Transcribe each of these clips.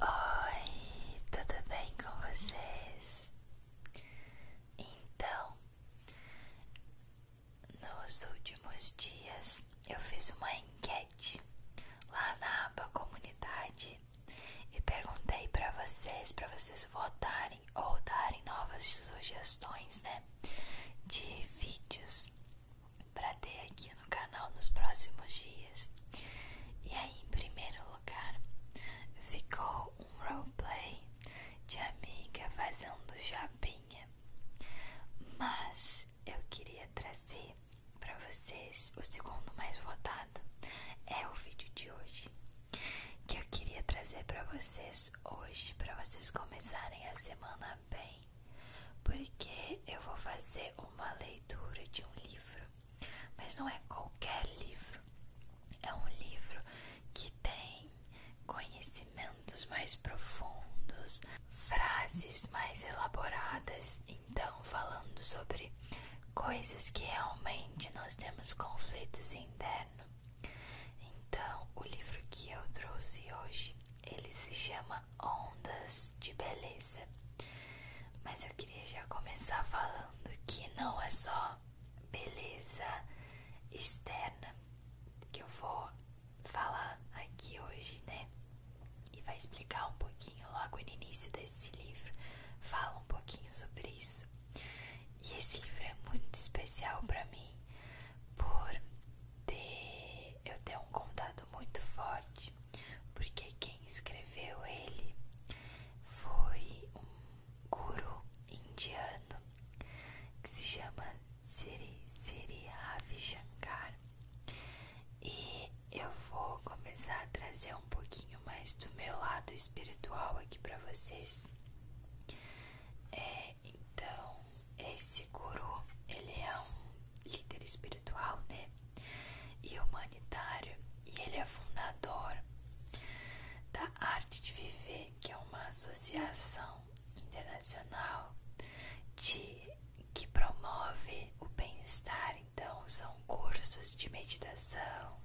Oi, tudo bem com vocês? Então, nos últimos dias eu fiz uma enquete lá na aba comunidade e perguntei para vocês, para vocês votarem ou darem novas sugestões, né, de vídeos para ter aqui no canal nos próximos dias. E aí, em primeiro lugar, ficou um roleplay de amiga fazendo jabinha Mas eu queria trazer para vocês o segundo mais votado é o vídeo de hoje que eu queria trazer para vocês hoje para vocês começarem a semana bem porque eu vou fazer uma leitura de um livro, mas não é qualquer livro, é um livro que tem conhecimentos mais profundos, frases mais elaboradas, então falando sobre coisas que realmente nós temos conflitos internos. Então, o livro que eu trouxe hoje, ele se chama Ondas de Beleza. Mas eu queria já começar falando que não é só beleza externa que eu vou falar aqui hoje, né? E vai explicar um pouquinho logo no início desse livro. Fala um pouquinho sobre isso. E esse livro é muito especial para mim por ter eu ter um contato muito forte porque quem escreveu ele foi um guru indiano que se chama Siri Siri Ravi Shankar. E eu vou começar a trazer um pouquinho mais do meu lado espiritual aqui para vocês. É, então, esse guru, ele é um líder espiritual, né? e humanitário, e ele é fundador da Arte de Viver, que é uma associação internacional de, que promove o bem-estar. Então, são cursos de meditação,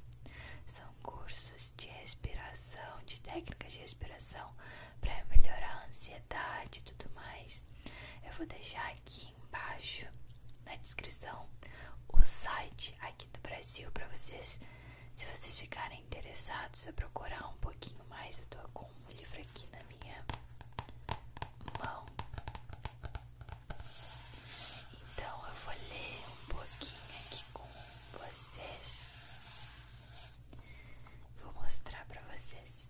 são cursos de respiração, de técnicas de respiração para melhorar a ansiedade e tudo mais. Eu vou deixar aqui embaixo na descrição o site aqui do Brasil para vocês, se vocês ficarem interessados a procurar um pouquinho mais. Eu estou com o um livro aqui na minha mão. Então eu vou ler um pouquinho aqui com vocês. Vou mostrar para vocês.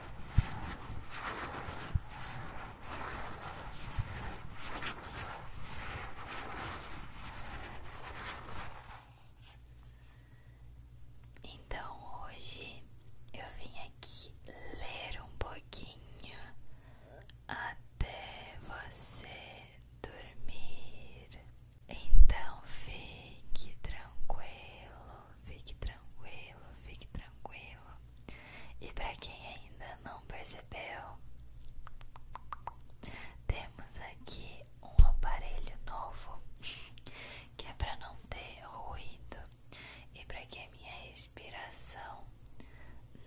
Então hoje eu vim aqui ler um pouquinho até você dormir. Então fique tranquilo fique tranquilo, fique tranquilo. E para quem ainda não percebeu, temos aqui um aparelho novo que é para não ter ruído e para que a minha respiração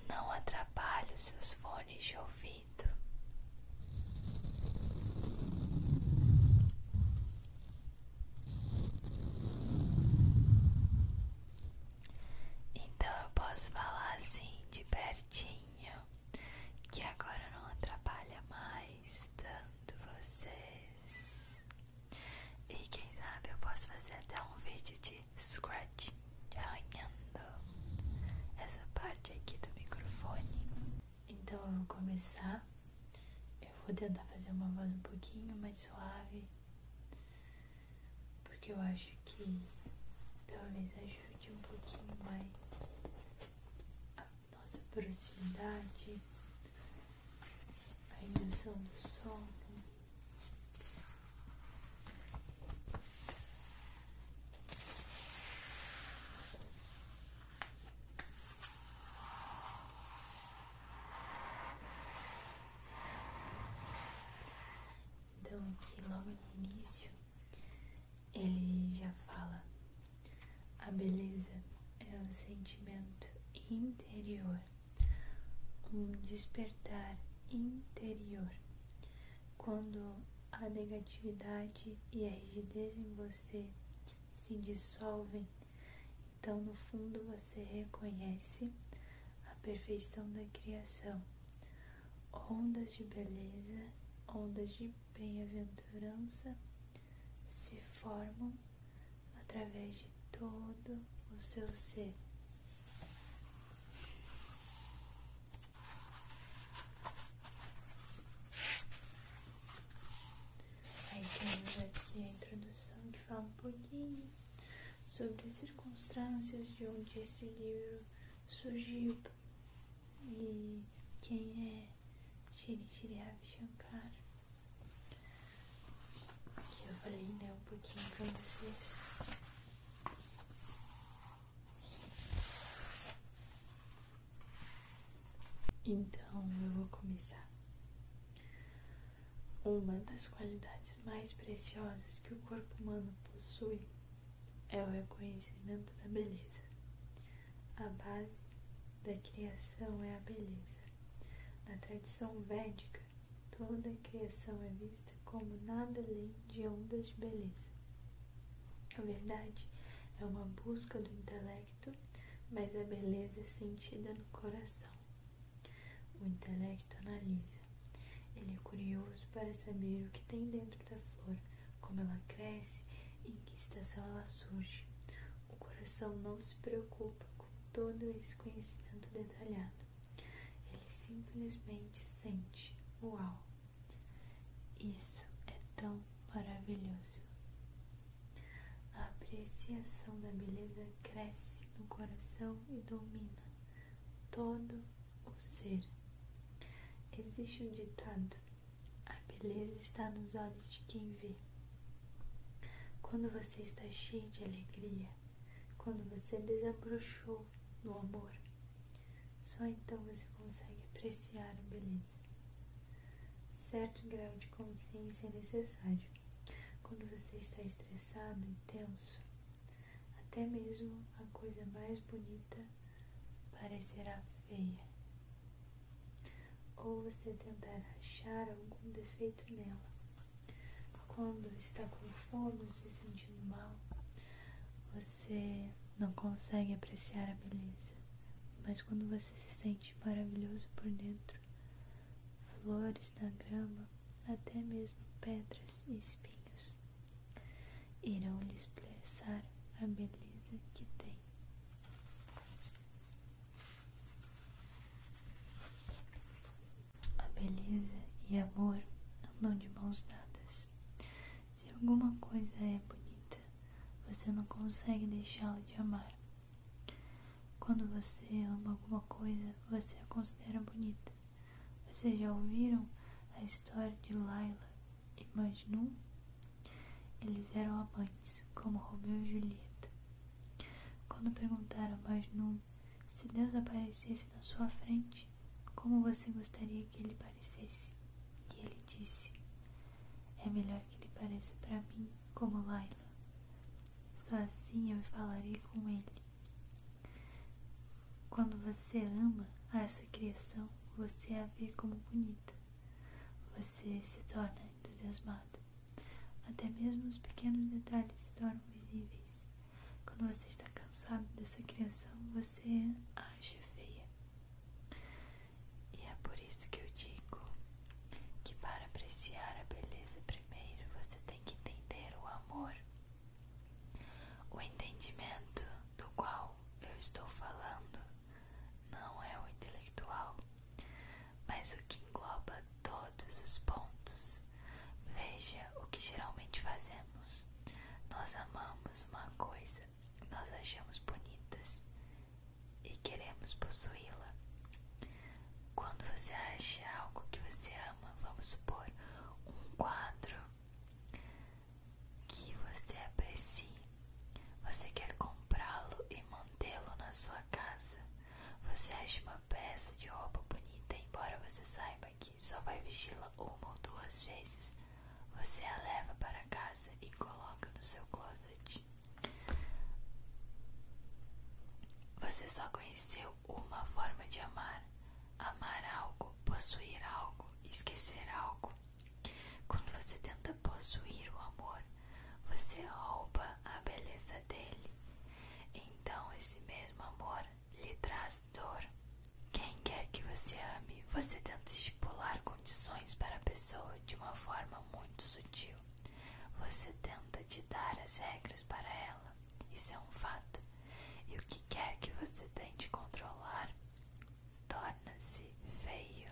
não atrapalhe os seus fones de ouvido. Então eu posso falar assim de pertinho, que agora não atrapalha mais tanto vocês. E quem sabe eu posso fazer até um vídeo de scratch, de arranhando essa parte aqui do microfone. Então eu vou começar eu vou tentar fazer uma voz um pouquinho mais suave, porque eu acho que talvez ajude um pouquinho mais a nossa proximidade, a indução do sono. Então, aqui logo no início, ele já fala: a beleza é um sentimento interior, um despertar interior. Quando a negatividade e a rigidez em você se dissolvem então, no fundo, você reconhece a perfeição da criação, ondas de beleza, ondas de bem-aventurança se formam através de todo o seu ser. Aí temos aqui a introdução que fala um pouquinho sobre as circunstâncias de onde esse livro surgiu e quem é Shri Shri Shankar. Que eu falei né, um pouquinho para vocês. Então eu vou começar. Uma das qualidades mais preciosas que o corpo humano possui é o reconhecimento da beleza. A base da criação é a beleza. Na tradição védica, toda a criação é vista como nada além de ondas de beleza. A verdade é uma busca do intelecto mas a beleza é sentida no coração. O intelecto analisa. Ele é curioso para saber o que tem dentro da flor, como ela cresce e em que estação ela surge. O coração não se preocupa com todo esse conhecimento detalhado. Ele simplesmente sente. Uau! Isso é tão maravilhoso. A apreciação da beleza cresce no coração e domina todo o ser. Existe um ditado: a beleza está nos olhos de quem vê. Quando você está cheio de alegria, quando você desabrochou no amor, só então você consegue apreciar a beleza. Certo grau de consciência é necessário. Quando você está estressado e tenso, até mesmo a coisa mais bonita parecerá feia. Ou você tentará achar algum defeito nela. Quando está com fome ou se sentindo mal, você não consegue apreciar a beleza mas quando você se sente maravilhoso por dentro, flores na grama, até mesmo pedras e espinhos, irão lhe expressar a beleza que tem. A beleza e amor andam de mãos dadas. Se alguma coisa é bonita, você não consegue deixá-la de amar. Quando você ama alguma coisa, você a considera bonita. Vocês já ouviram a história de Laila e Majnun? Eles eram amantes, como Romeu e Julieta. Quando perguntaram a Majnun se Deus aparecesse na sua frente, como você gostaria que ele parecesse? E ele disse: É melhor que ele pareça para mim como Laila. Só assim eu falarei com ele. Quando você ama essa criação, você a vê como bonita. Você se torna entusiasmado. Até mesmo os pequenos detalhes se tornam visíveis. Quando você está cansado dessa criação, você a acha feia. E é por isso que eu digo que para apreciar a beleza primeiro você tem que entender o amor. O entendimento do qual eu estou falando não é o intelectual, mas o que engloba todos os pontos. Veja o que geralmente fazemos. Nós amamos uma coisa nós achamos bonitas e queremos possuí-la. Quando você acha algo que você ama, vamos supor um quadro que você aprecie, você quer comprá-lo e mantê-lo na sua casa. Você acha uma peça de roupa bonita, embora você saiba que só vai vesti-la uma ou duas vezes. Você a leva para casa e coloca no seu closet. Você só conheceu uma forma de amar: amar algo, possuir algo, esquecer algo. Quando você tenta possuir o amor, você rouba a beleza dele. Então, esse mesmo amor lhe traz dor. Quem quer que você ame, você tenta estipular com condições para a pessoa de uma forma muito sutil. Você tenta te dar as regras para ela, isso é um fato. E o que quer que você tente controlar torna-se feio.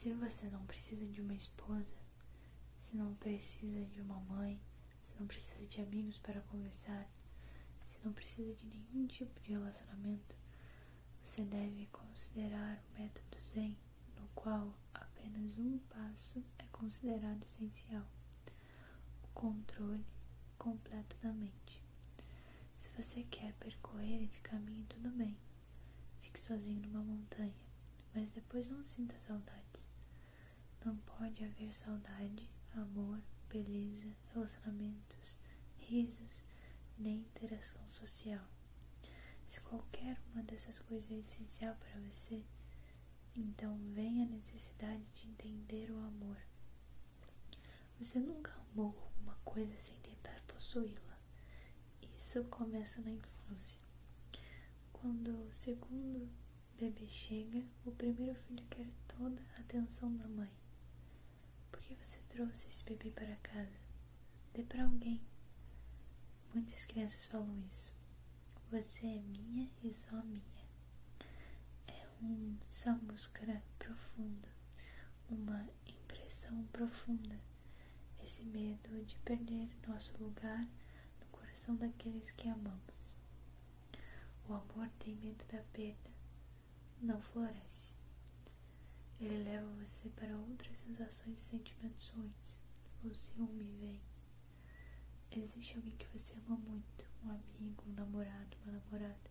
Se você não precisa de uma esposa, se não precisa de uma mãe, se não precisa de amigos para conversar, se não precisa de nenhum tipo de relacionamento, você deve considerar o método Zen, no qual apenas um passo é considerado essencial: o controle completo da mente. Se você quer percorrer esse caminho, tudo bem, fique sozinho numa montanha, mas depois não sinta saudades. Não pode haver saudade, amor, beleza, relacionamentos, risos, nem interação social. Se qualquer uma dessas coisas é essencial para você, então vem a necessidade de entender o amor. Você nunca amou alguma coisa sem tentar possuí-la. Isso começa na infância. Quando o segundo bebê chega, o primeiro filho quer toda a atenção da mãe. Por que você trouxe esse bebê para casa? Dê para alguém. Muitas crianças falam isso. Você é minha e só minha. É um sambuskara profundo, uma impressão profunda. Esse medo de perder nosso lugar no coração daqueles que amamos. O amor tem medo da perda, não floresce. Ele leva você para outras sensações e sentimentos ruins. O ciúme vem. Existe alguém que você ama muito, um amigo, um namorado, uma namorada,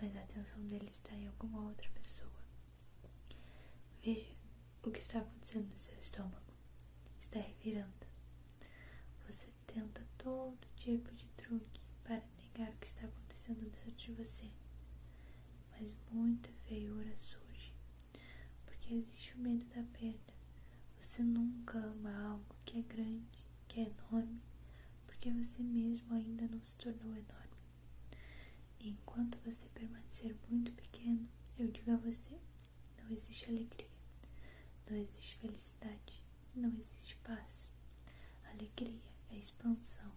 mas a atenção dele está em alguma outra pessoa. Veja o que está acontecendo no seu estômago. Está revirando. Você tenta todo tipo de truque para negar o que está acontecendo dentro de você, mas muita feiura surge, porque existe o medo da perda. Você nunca ama algo que é grande, que é enorme, porque você mesmo ainda não se tornou enorme. enquanto você permanecer muito pequeno, eu digo a você: não existe alegria, não existe felicidade, não existe paz. Alegria é expansão,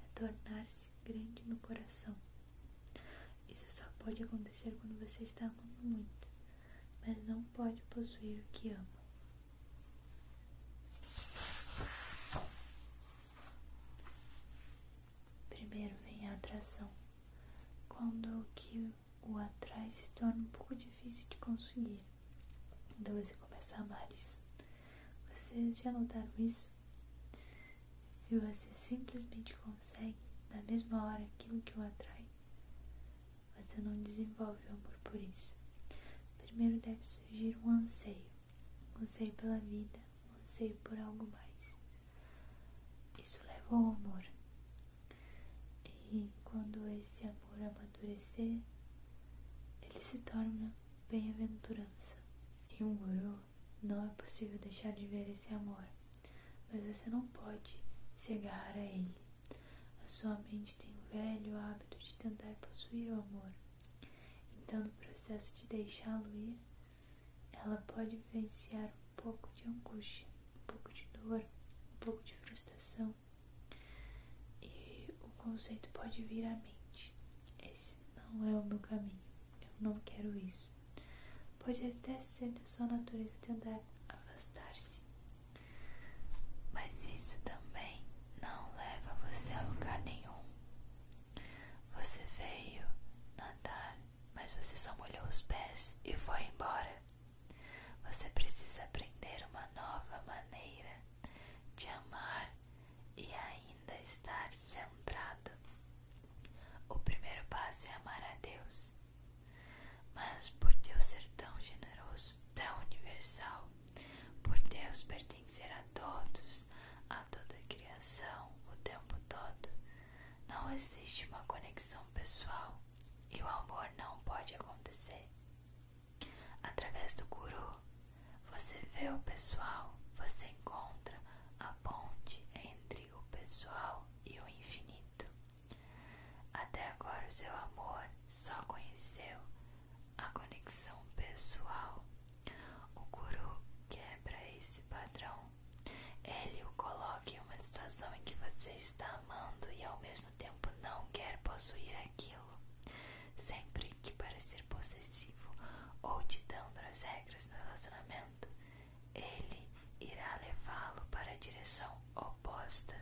é tornar-se grande no coração. Isso só pode acontecer quando você está amando muito, mas não pode possuir o que ama. Primeiro vem a atração. Quando o que o atrai se torna um pouco difícil de conseguir. Então você começa a amar isso. Vocês já notaram isso? Se você simplesmente consegue, na mesma hora, aquilo que o atrai, você não desenvolve o amor por isso. Primeiro deve surgir um anseio. Um anseio pela vida, um anseio por algo mais. Isso leva ao amor. E quando esse amor amadurecer, eles se torna bem-aventurança. Em um guru, não é possível deixar de ver esse amor, mas você não pode se agarrar a ele. A sua mente tem o velho hábito de tentar possuir o amor. Então, no processo de deixá-lo ir, ela pode vivenciar um pouco de angústia, um pouco de dor, um pouco de frustração, e o conceito pode vir à mente. Esse não é o meu caminho. Eu não quero isso. Pode até ser da sua natureza tentar afastar-se. Mas isso também não leva você a lugar nenhum. Você veio nadar, mas você só molhou os pés e foi embora. Você precisa aprender uma nova maneira de amar e ainda estar centrado. O primeiro passo é amar a Deus. Mas por Deus ser tão generoso, tão universal, por Deus pertencer a todos, a toda a criação, o tempo todo, não existe uma conexão pessoal e o amor não pode acontecer. Através do guru, você vê o pessoal, você encontra a ponte entre o pessoal e o infinito. Até agora o seu amor só conheceu a conexão pessoal. O guru quebra esse padrão. Ele o coloca em uma situação em que você está amando e ao mesmo tempo não quer possuir aquilo. Sempre que parecer possessivo ou ditando as regras no relacionamento, ele irá levá-lo para a direção oposta.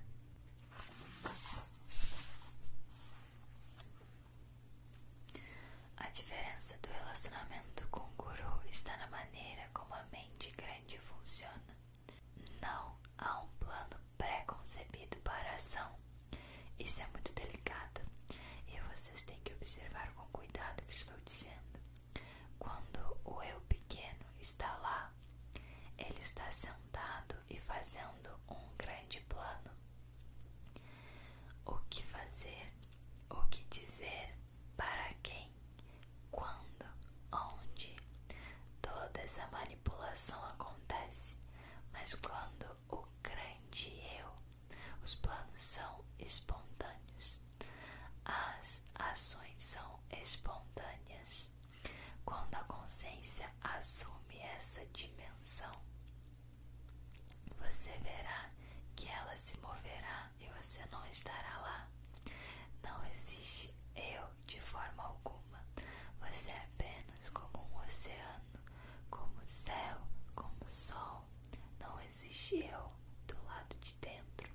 A diferença do relacionamento com o guru está na maneira como a mente grande funciona. Não há um plano pré-concebido para a ação. Isso é muito delicado e vocês têm que observar com cuidado o que estou dizendo. Quando o eu pequeno está lá, ele está sentado e fazendo um grande plano. O que fazer, o que dizer, para quem, quando, onde, Toda essa manipulação acontece, mas quando o grande eu, os planos são espontâneos, as ações são espontâneas. Quando a consciência assume essa dimensão, você verá que ela se moverá e você não estará lá. Não existe eu de forma alguma. Você é apenas como um oceano, como o céu, como o sol. Não existe eu do lado de dentro.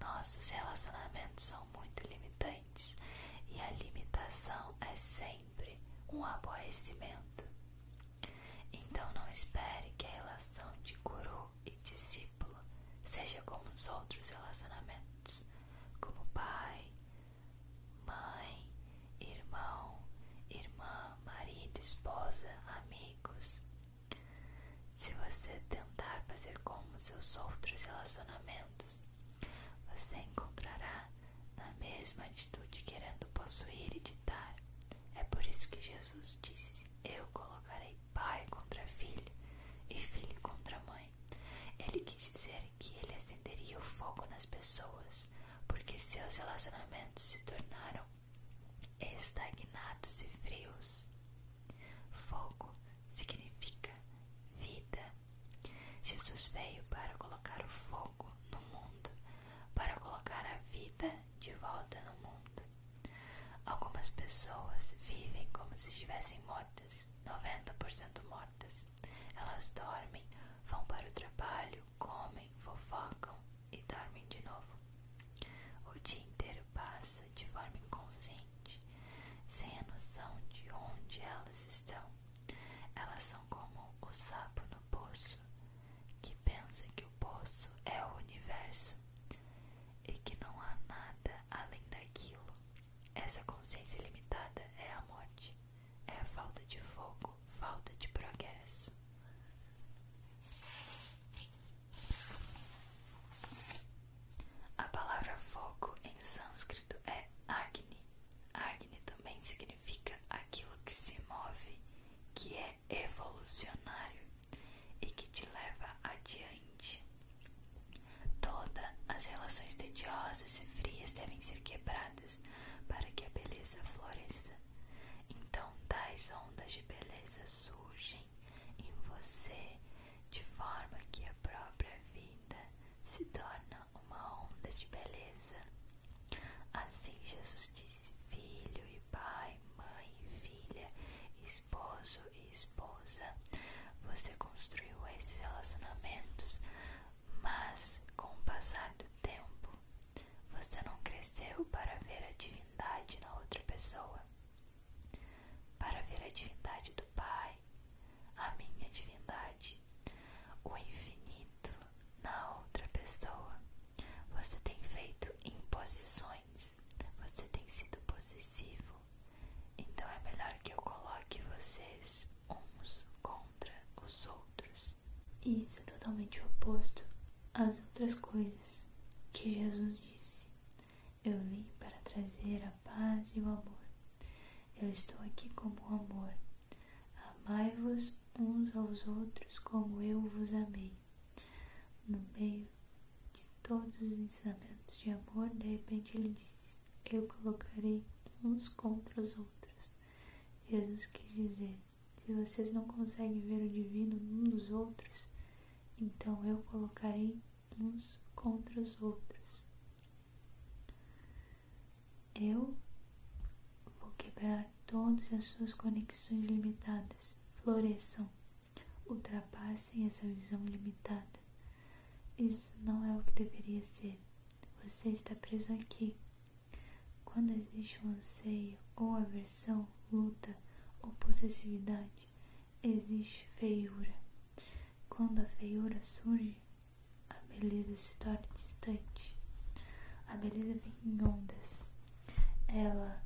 Nossos relacionamentos são muito limitantes e a limitação é sempre um aborrecimento. Então não espere que a relação de guru e discípulo seja como os outros relacionamentos como pai, mãe, irmão, irmã, marido, esposa, amigos. Se você tentar fazer como seus outros relacionamentos, você encontrará na mesma atitude querendo possuir e ditar. É por isso que Jesus disse: Eu colocarei pai contra filho e filho contra mãe, ele quis dizer que ele acenderia o fogo nas pessoas, porque seus relacionamentos se tornaram estagnados e frios. Fogo significa vida. Jesus veio para colocar o fogo no mundo, para colocar a vida de volta no mundo. Algumas pessoas vivem como se estivessem mortas. 90% mortas. Elas dormem, vão para o trabalho, comem, fofocam e dormem de novo. O dia inteiro passa de forma inconsciente, sem a noção de onde elas estão. Elas são como o sapo no poço, que pensa que o poço é o universo e que não há nada além daquilo. Essa consciência limitada é a morte, é a falta de fogo, falta de progresso. A palavra fogo em sânscrito é Agni. Agni também significa aquilo que se move, que é evolucionário e que te leva adiante importante. Todas as relações tediosas e frias devem ser quebradas para que a beleza floresça. Então, tais ondas de beleza surgem em você de forma que a própria vida se torna uma onda de beleza. Assim, Jesus disse: Filho e pai, mãe e filha, esposo e esposa, você construiu esses relacionamentos, mas com o passar do tempo, você não cresceu para ver a divindade na outra pessoa, para ver a divindade do Pai, a minha divindade, o infinito na outra pessoa. Você tem feito imposições, você tem sido possessivo, então é melhor que eu coloque vocês uns contra os outros. E isso é totalmente oposto às outras coisas que Jesus disse. Eu vim para trazer a paz e o amor. Eu estou aqui como o amor. Amai-vos uns aos outros como eu vos amei. No meio de todos os ensinamentos de amor, de repente ele disse: Eu colocarei uns contra os outros. Jesus quis dizer: Se vocês não conseguem ver o divino num dos outros, então eu colocarei uns contra os outros. Eu vou quebrar todas as suas conexões limitadas. Floresçam, ultrapassem essa visão limitada. Isso não é o que deveria ser. Você está preso aqui. Quando existe um ou aversão, luta ou possessividade, existe feiura. Quando a feiura surge, a beleza se torna distante. A beleza vem em ondas. Ela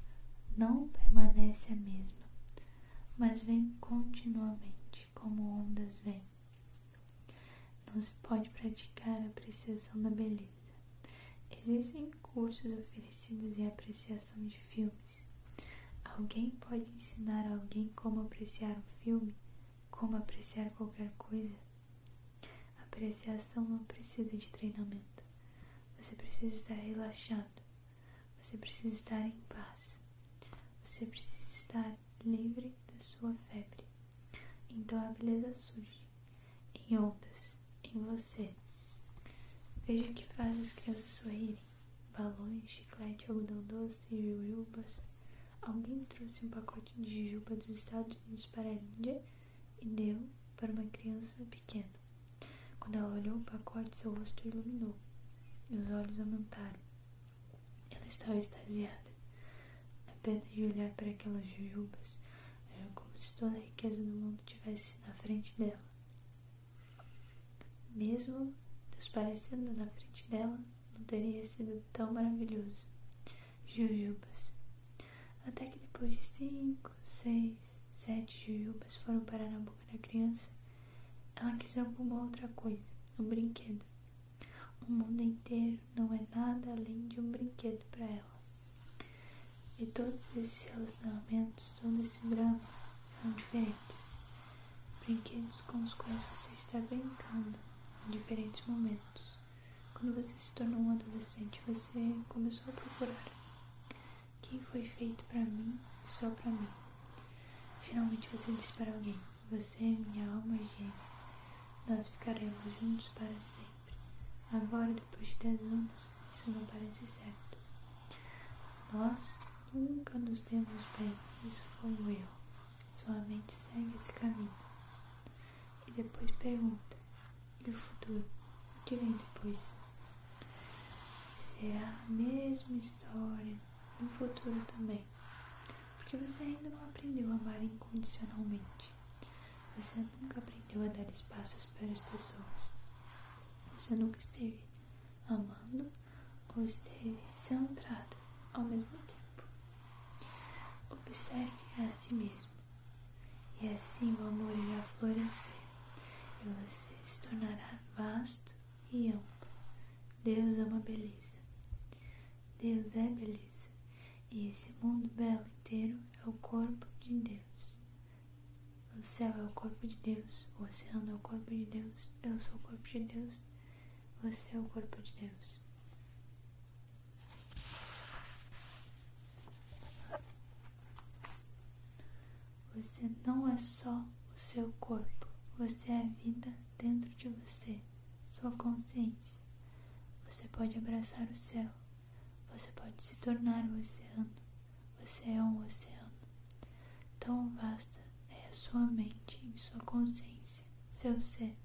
não permanece a mesma mas vem continuamente como ondas vêm. Não se pode praticar a apreciação da beleza. Existem cursos oferecidos em apreciação de filmes. Alguém pode ensinar a alguém como apreciar um filme, como apreciar qualquer coisa. A apreciação não precisa de treinamento. Você precisa estar relaxado, você precisa estar em paz. Você precisa estar livre da sua febre. Então a beleza surge em ondas, em você. Veja que faz as crianças sorrirem. Balões, chiclete, algodão doce, jujubas. Alguém trouxe um pacote de jujuba dos Estados Unidos para a Índia e deu para uma criança pequena. Quando ela olhou o pacote, seu rosto iluminou e os olhos aumentaram. Ela estava extasiada. Apenas de olhar para aquelas jujubas era como se toda a riqueza do mundo tivesse na frente dela. Mesmo desaparecendo na frente dela, não teria sido tão maravilhoso. Jujubas. Até que depois de cinco, seis, sete jujubas foram parar na boca da criança, ela quis alguma outra coisa, um brinquedo. O mundo inteiro não é nada além de um brinquedo para ela. E todos esses relacionamentos, todo esse drama, são diferentes. Brinquedos com os quais você está brincando em diferentes momentos. Quando você se tornou um adolescente, você começou a procurar que foi feito para mim, só para mim. Finalmente você disse para alguém: Você é minha alma gêmea. Nós ficaremos juntos para sempre. Agora, depois de dez anos, isso não parece certo. Nós nunca nos demos bem. Isso foi um erro. Sua mente segue esse caminho. E depois pergunta: E o futuro? O que vem depois? Será é a mesma história no futuro também, porque você ainda não aprendeu a amar incondicionalmente. Você nunca aprendeu a dar espaço para as pessoas. Você nunca esteve amando ou esteve centrado ao mesmo tempo. Observe a si mesmo, e assim o amor irá florescer e você se tornará vasto e amplo. Deus ama é beleza. Deus é beleza, e esse mundo belo inteiro é o corpo de Deus. O céu é o corpo de Deus, o oceano é o corpo de Deus, eu sou o corpo de Deus, você é o corpo de Deus. Você não é só o seu corpo, você é a vida dentro de você, sua consciência. Você pode abraçar o céu, você pode se tornar o um oceano, você é um oceano. Tão vasta é a sua mente e sua consciência, seu ser.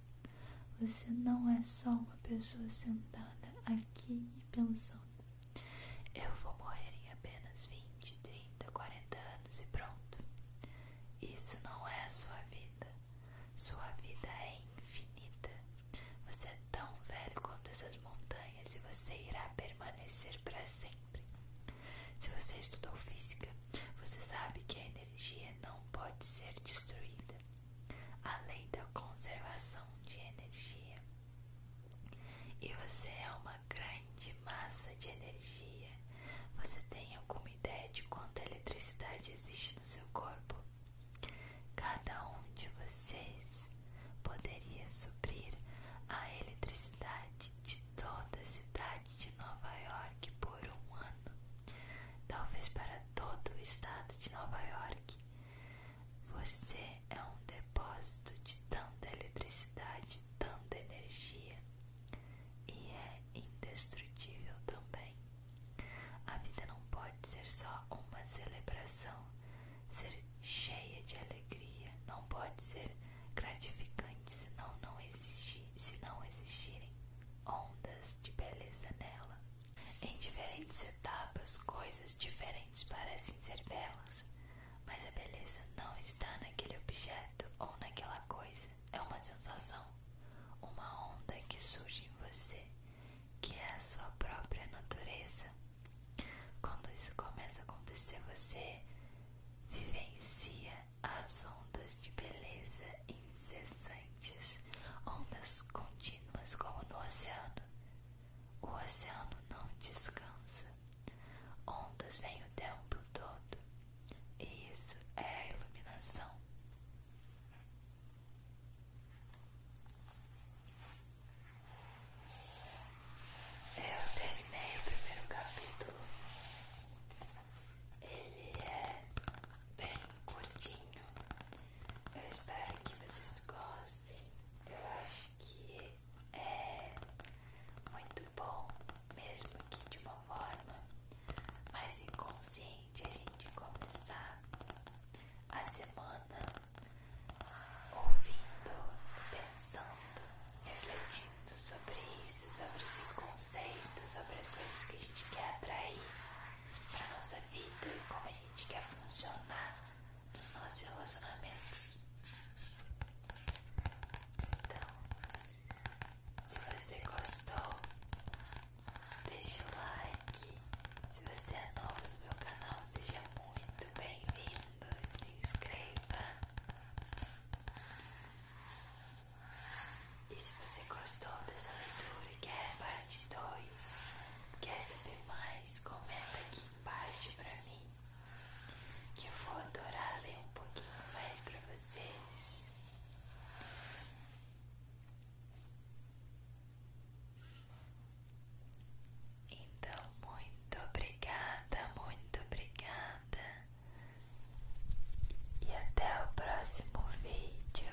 Você não é só uma pessoa sentada aqui e pensando. Eu vou morrer em apenas 20, 30, 40 anos e pronto. Isso não é a sua vida. Sua vida é infinita. Você é tão velho quanto essas montanhas e você irá permanecer para sempre. Se você estudou física, você sabe que a energia não pode ser destruída. A lei da conservação de energia. E você é uma grande massa de energia. Você tem alguma ideia de quanta eletricidade existe no seu corpo? Cada um de vocês poderia suprir a eletricidade de toda a cidade de Nova York por um ano, talvez para todo o estado de Nova York. Você é um depósito de tanta eletricidade, tanta energia e é indestrutível também. A vida não pode ser só uma celebração, ser cheia de alegria, não pode ser gratificante senão não se não existirem ondas de beleza nela. Em diferentes etapas, coisas diferentes parecem ser belas. Mas a beleza não está naquele objeto ou naquela coisa, é uma sensação, uma onda que surge em você, que é a sua própria natureza. Quando isso começa a acontecer, você vivencia as ondas de beleza incessantes, ondas contínuas como no oceano. O oceano não descansa. Ondas vêm o tempo todo. E isso é a iluminação. Eu terminei o primeiro capítulo. Ele é bem curtinho. Eu espero que vocês gostem. Eu acho que é muito bom, mesmo que de uma forma mais inconsciente, a gente começar a semana ouvindo, pensando, refletindo sobre isso, sobre esses conceitos, sobre as coisas que a gente quer atrair para nossa vida e como a gente quer funcionar nos nossos relacionamentos. Então, se você gostou, deixe o like. Se você é novo no meu canal, seja muito bem-vindo. Se inscreva. E se você gostou dessa leitura e quer parte quer saber mais, comenta aqui aqui embaixo pra mim, que eu vou adorar ler um pouquinho mais pra vocês. Então, muito obrigada, muito obrigada. E até o próximo vídeo.